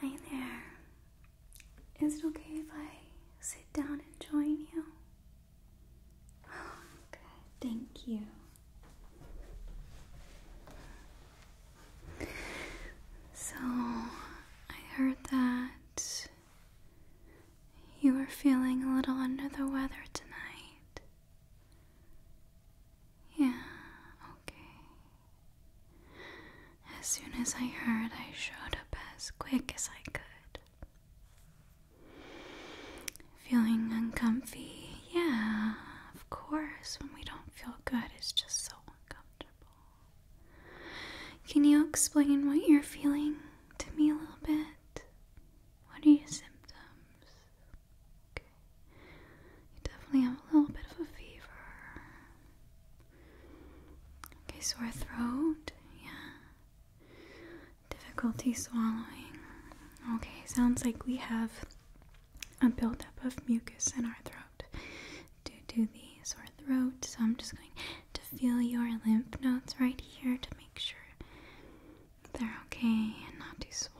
Hi there. Is it okay if I sit down and join you? Oh, good. Thank you. So, I heard that you were feeling a little under the weather tonight. Yeah, okay. As soon as I heard, I showed up as quick as I could. Feeling uncomfy? Yeah, of course. When we don't feel good, it's just so uncomfortable. Can you explain what you're feeling? to me a little bit? What are your symptoms? Okay. You definitely have a little bit of a fever. Okay, sore throat. Yeah. Difficulty swallowing. Okay, sounds like we have a buildup of mucus in our throat due to the sore throat. So I'm just going to feel your lymph nodes right here make sure they're okay and not too swollen.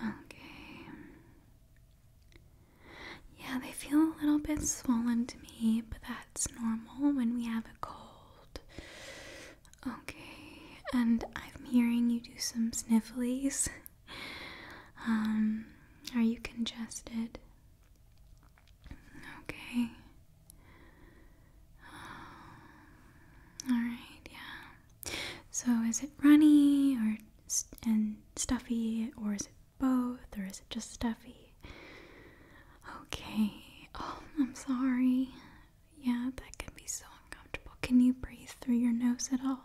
Okay. Yeah, they feel a little bit swollen to me, but that's normal when we have a cold. Okay, and I'm hearing you do some snifflies. Um, are you congested? Okay. Um, all right, yeah. So is it runny or and stuffy or is it both or is it just stuffy? Okay. Oh, I'm sorry. Yeah, that can be so uncomfortable. Can you breathe through your nose at all?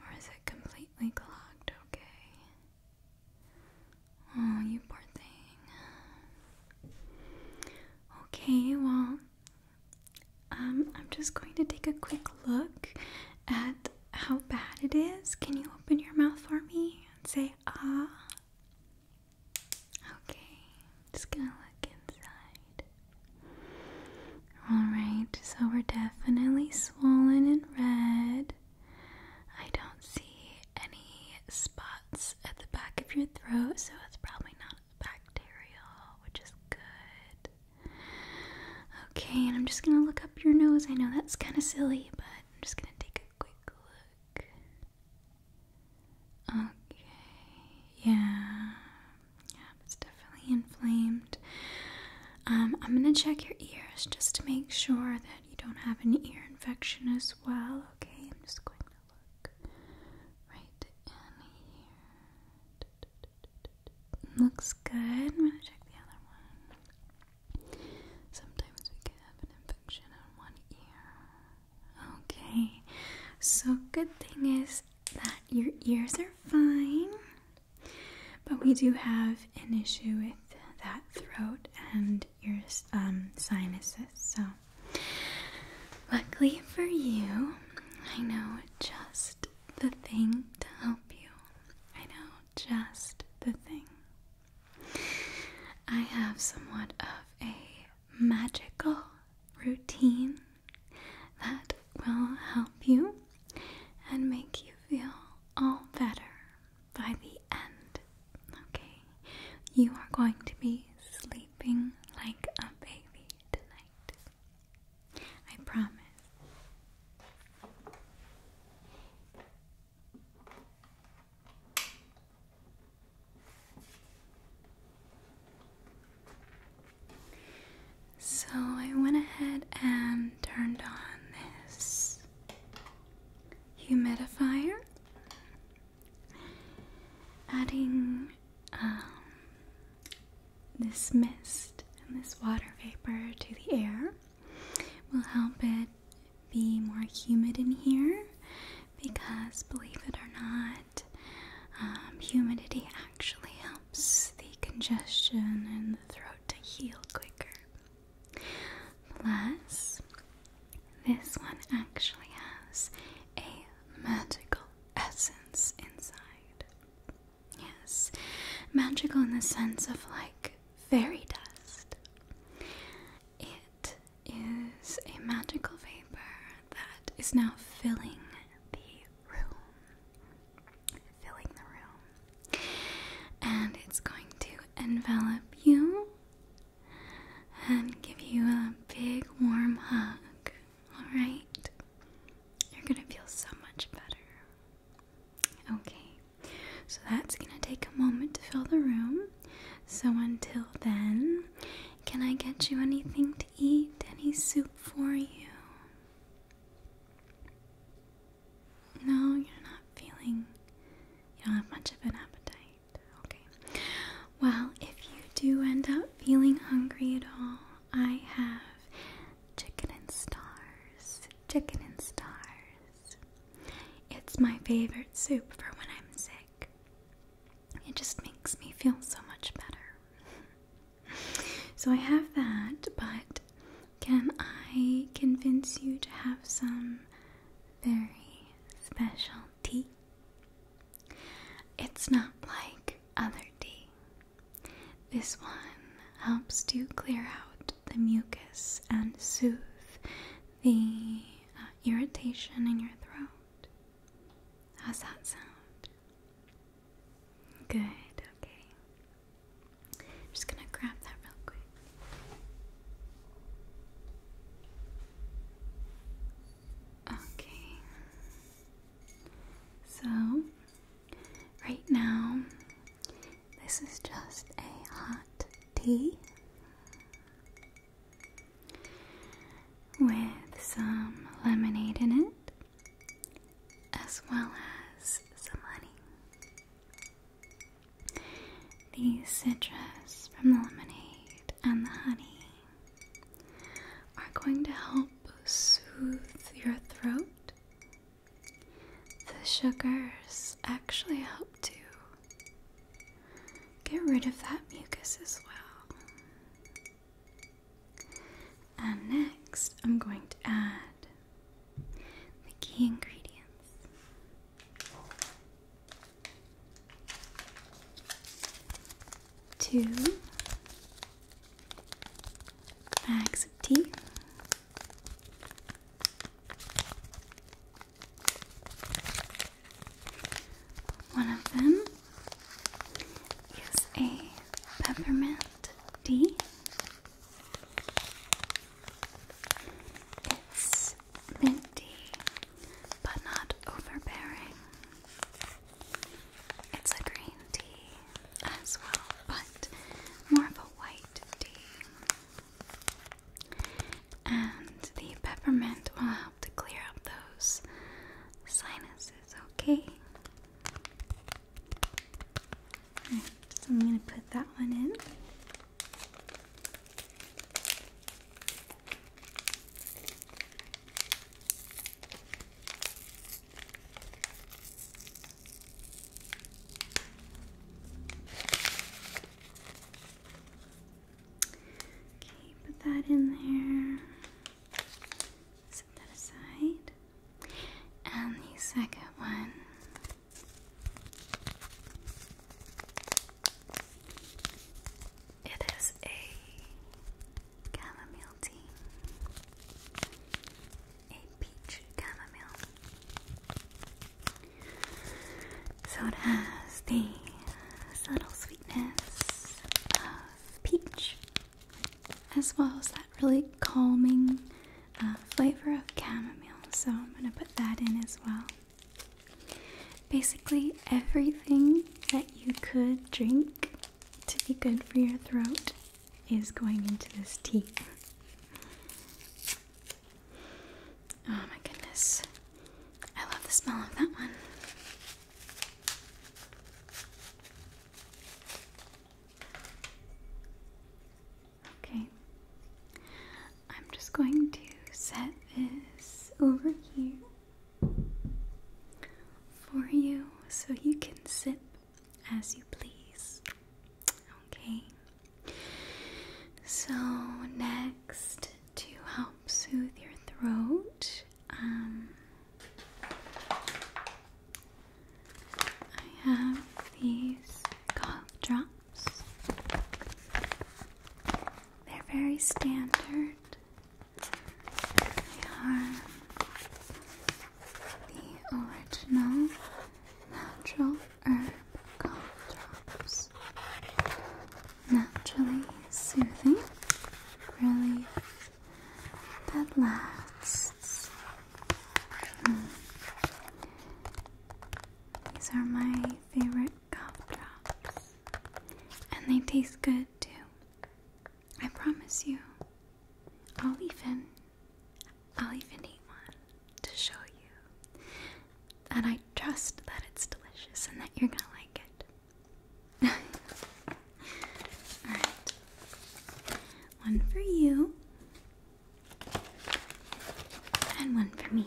Or is it completely clogged? Okay. Oh, you poor thing. Okay, well, um, I'm just going to take a quick look at how bad it is. Can you open your mouth for me and say ah? Okay, just gonna look inside. Alright, so we're definitely swollen and red. I don't see any spots at the back of your throat, so it's probably not bacterial, which is good. Okay, and I'm just gonna look up your nose. I know that's kind of silly, but I'm just gonna take a quick look. Okay, yeah, yeah, it's definitely inflamed. Um, I'm gonna check your ears just to make sure that you don't have an ear infection as well. Okay, I'm just going to look right in here. Looks good. I'm going to check the other one. Sometimes we can have an infection on one ear. Okay, so good thing is that your ears are fine, but we do have an issue with that throat and your um, sinuses. So, luckily for you, I know just the thing to help you. I know just the thing. I have somewhat of a magical routine that will help you and make you feel all better by the end, okay? You are going to be sleeping like a baby tonight. I promise. So I went ahead and turned on this humidifier, adding um, this mist and this water vapor to the air will help it be more humid in here because, believe it or not, um, humidity actually helps the congestion in the throat to heal quicker. Plus, this one actually has a magical essence inside. Yes, magical in the sense of like fairy dust. It is a magical vapor that is now filling the room. Filling the room and it's going to envelop you and give you a big warm hug. Alright? You're gonna feel so much better. Okay, so that's gonna take a moment to fill the room. So until then, can I get you anything to eat? Any soup for you? No, you're not feeling. You don't have much of an appetite. Okay. Well, if you do end up feeling hungry at all, I have chicken and stars. Chicken and stars. It's my favorite soup for when I'm sick. It just makes me feel so much better. so I have that, but can I convince you to have some very special tea. It's not like other tea. This one helps to clear out the mucus and soothe the uh, irritation in your throat. How's that sound? Good, okay. I'm just gonna grab that real quick. Okay. So, right now, this is just a hot tea with some lemonade in it, as well as some honey. The citrus from the lemonade and the honey are going to help soothe your throat. The sugars actually help to get rid of that mucus as well. And next, I'm going to add the key ingredients two bags of tea. One of them is a peppermint tea. It's minty, but not overbearing. It's a green tea as well, but more of a white tea. And the peppermint will help to clear up those sinuses, okay? so I'm going to put that one in. Okay, put that in there. Set that aside. And the second one. It is a chamomile tea, a peach chamomile. So it has the subtle sweetness of peach, as well as that really calming uh, flavor of chamomile. So I'm going to put that in as well. Basically, everything that you could drink to be good for your throat is going into this tea. Oh my goodness. I love the smell of that one. Okay. I'm just going to set this over here for you so you can sip as you please. Okay. So, next, to help soothe your throat, um, I have these cough drops. They're very standard. They are the original natural herb drops. Naturally soothing, really that lasts. Hmm. These are my favorite cough And they taste good too. I promise you. I'll even I'll even eat one to show you and I trust that it's delicious and that you're gonna like it. Alright. One for you and one for me.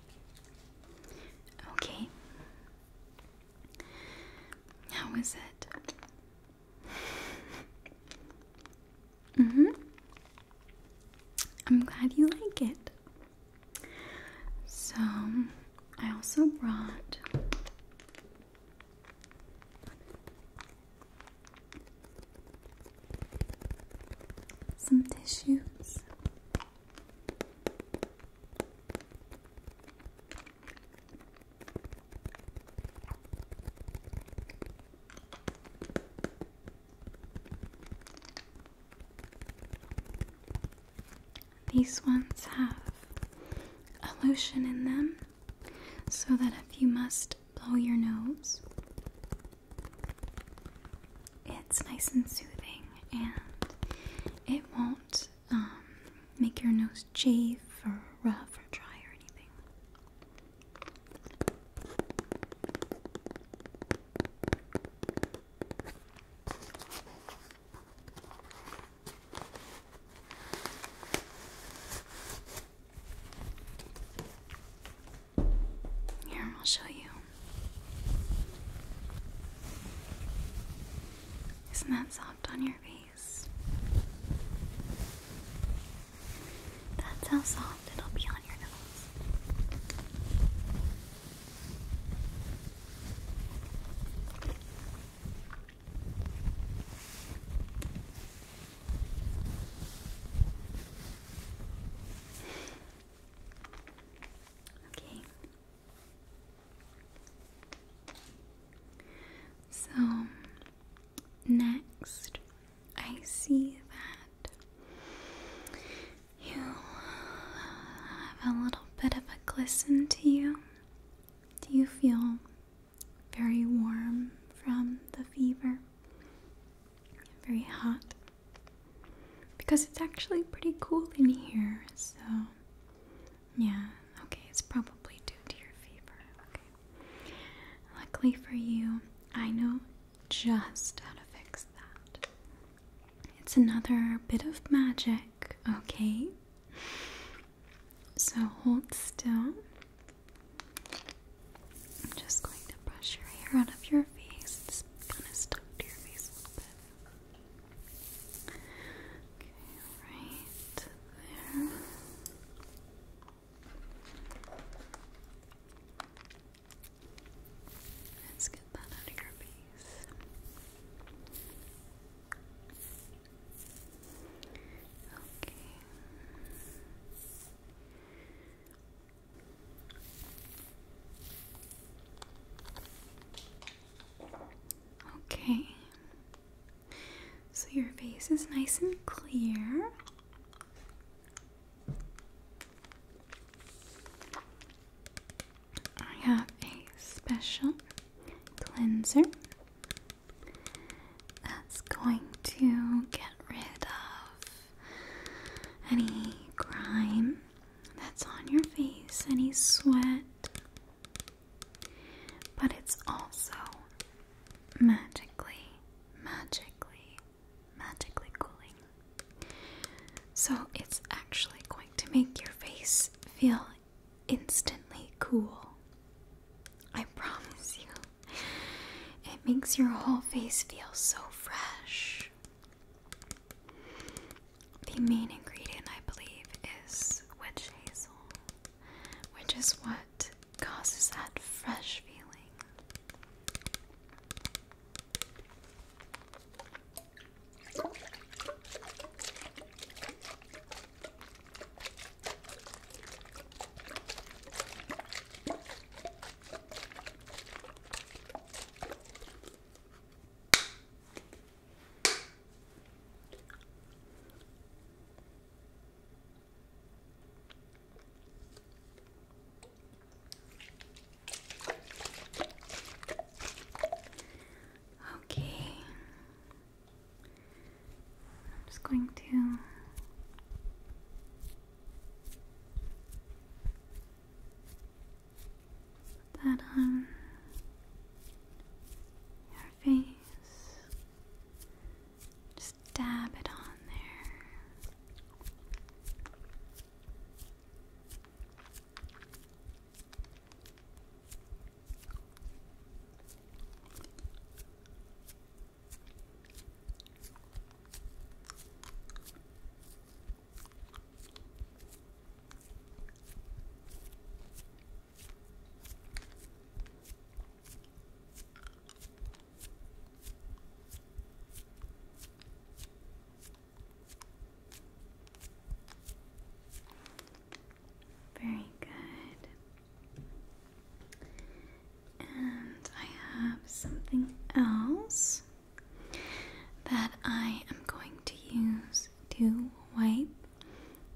Okay. How is it? mhm. I'm glad you like it. So, I also brought some tissues. These ones have a lotion in them so that if you must blow your nose, it's nice and soothing, and it won't um, make your nose chafe or rough or dry or anything. Here, I'll show you. Isn't that soft on your face? That's how soft it'll be on your nose. Okay. So next, I see that you have a little bit of a glisten to you. Do you feel very warm from the fever? Very hot. Because it's actually pretty cool in here, so yeah, okay, it's probably due to your fever. Okay. Luckily for you, I know just how to fix that. It's another bit of magic, okay? So hold still. I'm just going to brush your hair out of your face it's kind of stuck to your face a little bit. Okay, right there. Let's get that out of your face. Okay. Okay. So your face is nice and clear. I have a special cleanser that's going to get rid of any grime that's on your face, any sweat, but it's also magically, magically, magically cooling. So it's actually going to make your face feel instantly cool. I promise you. It makes your whole face feel so fresh. The main ingredient, I believe, is witch hazel, which is what causes that fresh feeling. Okay. I'm just going to Put that on um, your face. Just dab it on there. Very good. And I have something else that I am going to use to wipe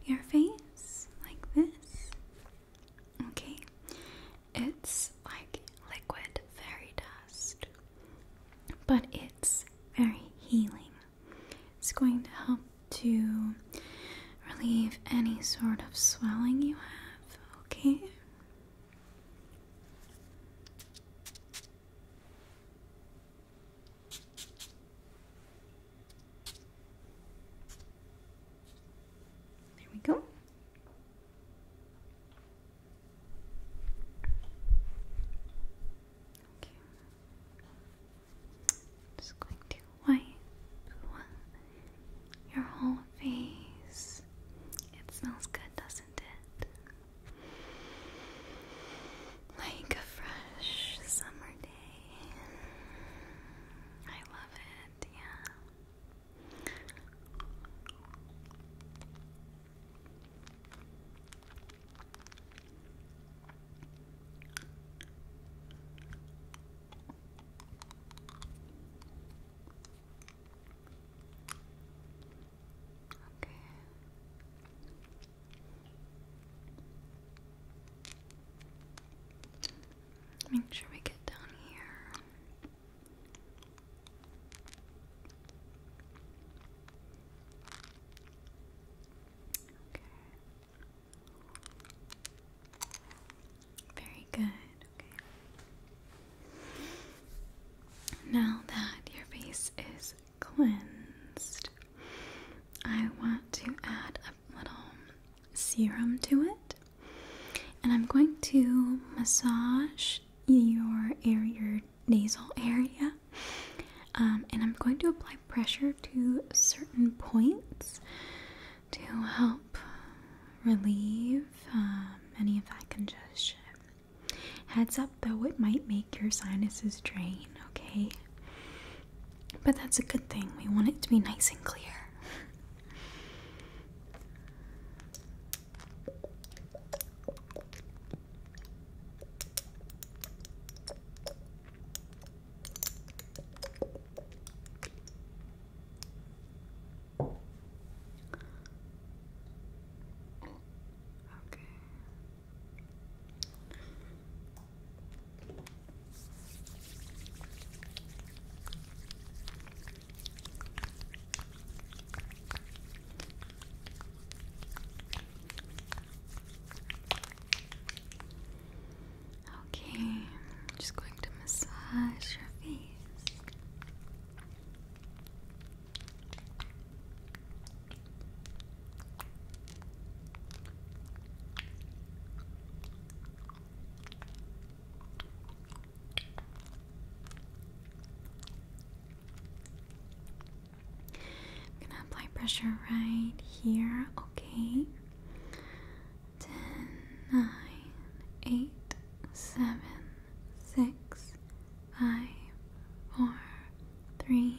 your face like this. Okay, it's like liquid fairy dust, but it's very healing. It's going to help to relieve any sort of swelling you have, okay? There we go. Just going to wipe your whole face. It smells good, doesn't like a fresh summer day. I love it, yeah. Okay. Make sure we get down here. Okay. Very good. Okay. Now that your face is cleansed. I want to add a little serum to it, and I'm going to massage your area, your nasal area, um, and I'm going to apply pressure to certain points to help relieve uh, any of that congestion. Heads up though, it might make your sinuses drain, okay? But that's a good thing. We want it to be nice and clear. Okay. Okay, I'm just going to massage your face. I'm gonna apply pressure right here, okay? Ten, nine, eight, seven, six, Five, four, three,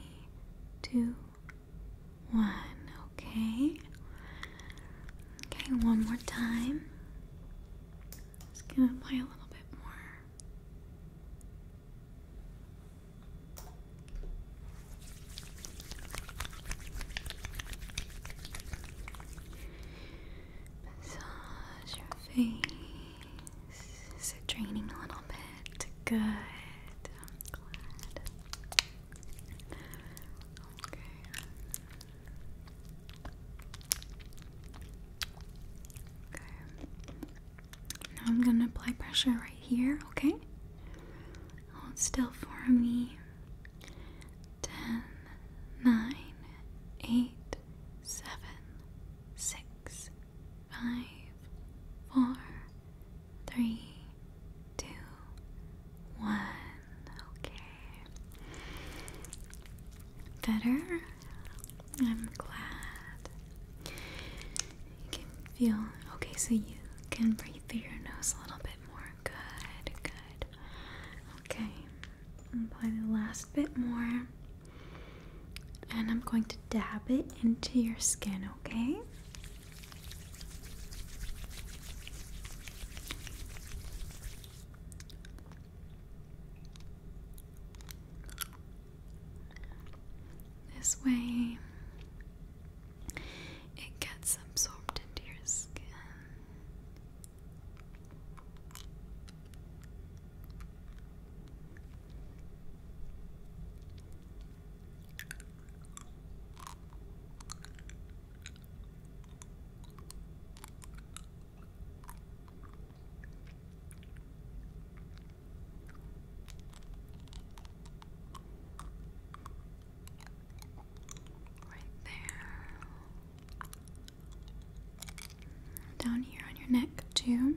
two, one. Okay. Okay, one more time. Just gonna play a little bit more. Massage your face. Is it draining a little bit? Good. Okay. Now I'm going to apply pressure right here, okay? Hold still for me. 10, five, four, three, two, one. Okay. Better? I'm glad. You can feel okay, so you can breathe through your nose a little bit more. Good, good. Okay. Apply the last bit more. And I'm going to dab it into your skin, okay? This way it gets absorbed into your skin. Right there. Down here on your neck, too.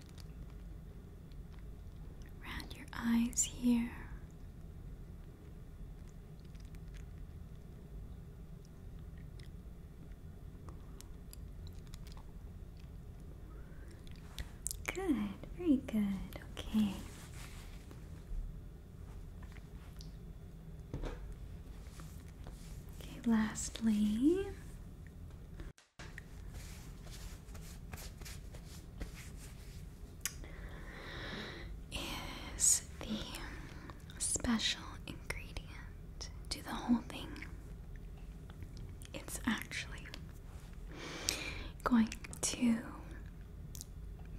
around your eyes here. Good, very good. Okay. Okay, lastly, is the special ingredient to the whole thing. It's actually going to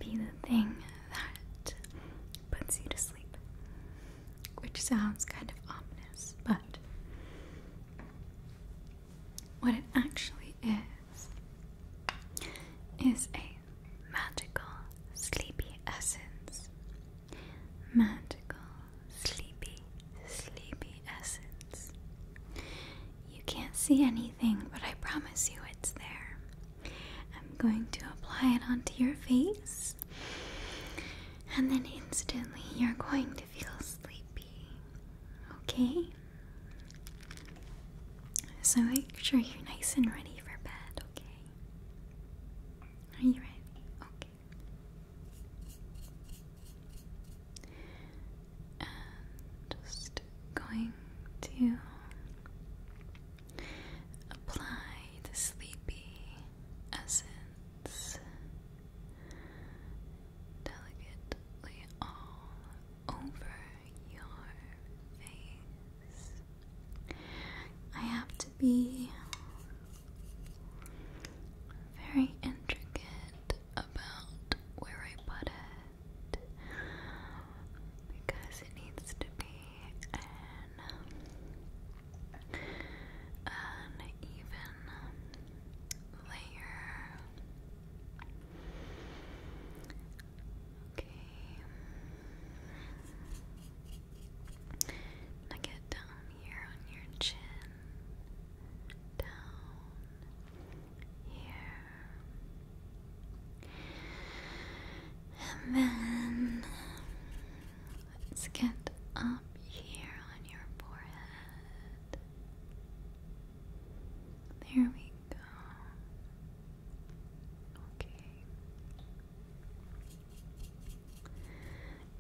be the thing that puts you to sleep, which sounds kind of ominous, but what it actually is is a magical sleepy essence. Magical sleepy, sleepy essence. You can't see anything, but I promise you it's there. I'm going to apply it onto your face, and then instantly you're going to feel sleepy. Okay? So make sure you're nice and ready for bed, okay? Are you ready? Okay. just going to apply the sleepy essence delicately all over your face. I have to be very intricate about where I put it because it needs to be an, even layer. Okay. Now get down here on your chin. Down here. And then let's get up here on your forehead. There we go. Okay.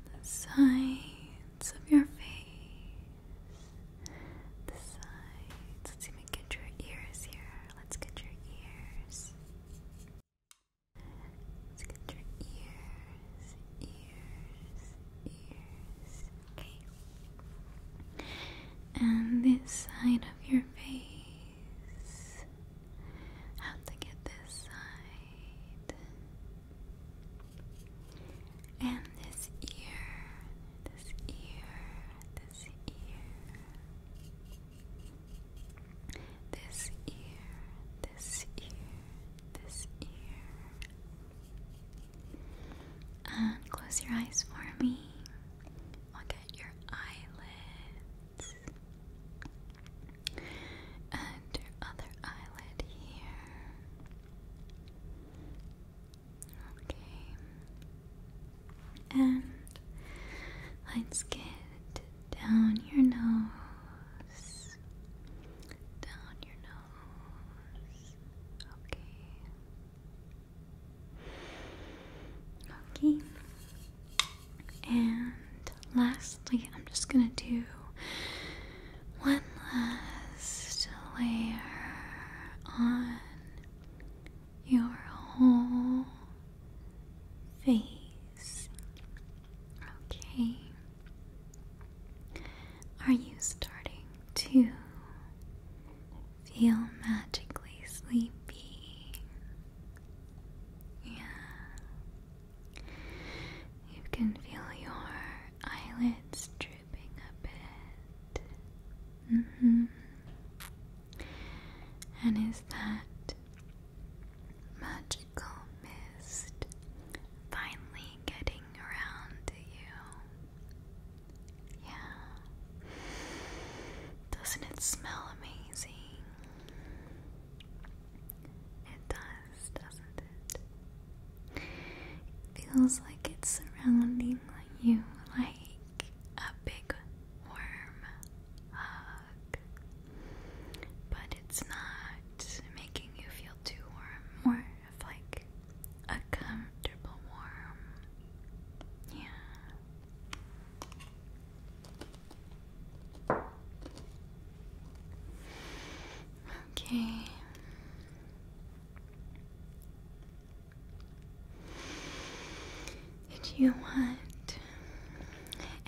The sides of your face. The sides. Let's even get your ears here. Let's get your ears. Let's get your ears, ears, ears, Okay. And this side of your face. How to get this side. And this ear. This ear. This ear. This ear. This ear. This ear close your eyes for me. Look at your eyelids. And your other eyelid here. Okay. And let's get down your nose. Down your Okay. Okay. And lastly, I'm just gonna do one last layer on your whole face. Okay. Are you starting to feel magically sleepy? Yeah. You can feel your eyelids drooping a bit. Mm hmm. And is that magical mist finally getting around to you? Yeah. Doesn't it smell amazing? It does, doesn't it? feels like it's surrounding you like a big warm hug. But it's not making you feel too warm of like a comfortable warm. Yeah. Okay. Did you want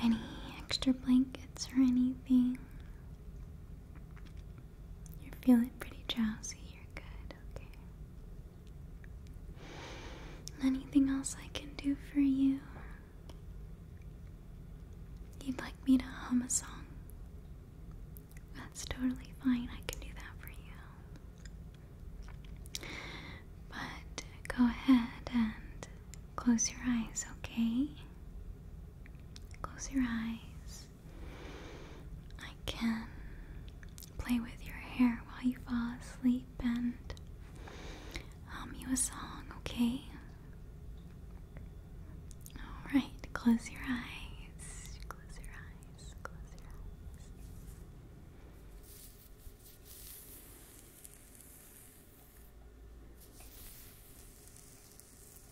any extra blankets or anything? You're feeling pretty drowsy. You're good. Okay. Anything else I can do for you? You'd like me to hum a song? That's totally fine. I can do that for you. But go ahead and close your eyes, okay? Close your eyes. I can play with your hair while you fall asleep and hum you a song, okay? Alright, close your eyes. Close your eyes. Close your eyes.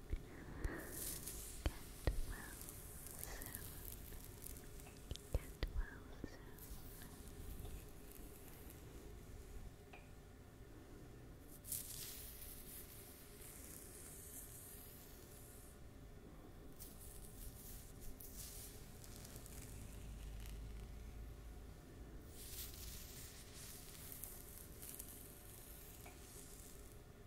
Get well soon. Get well soon.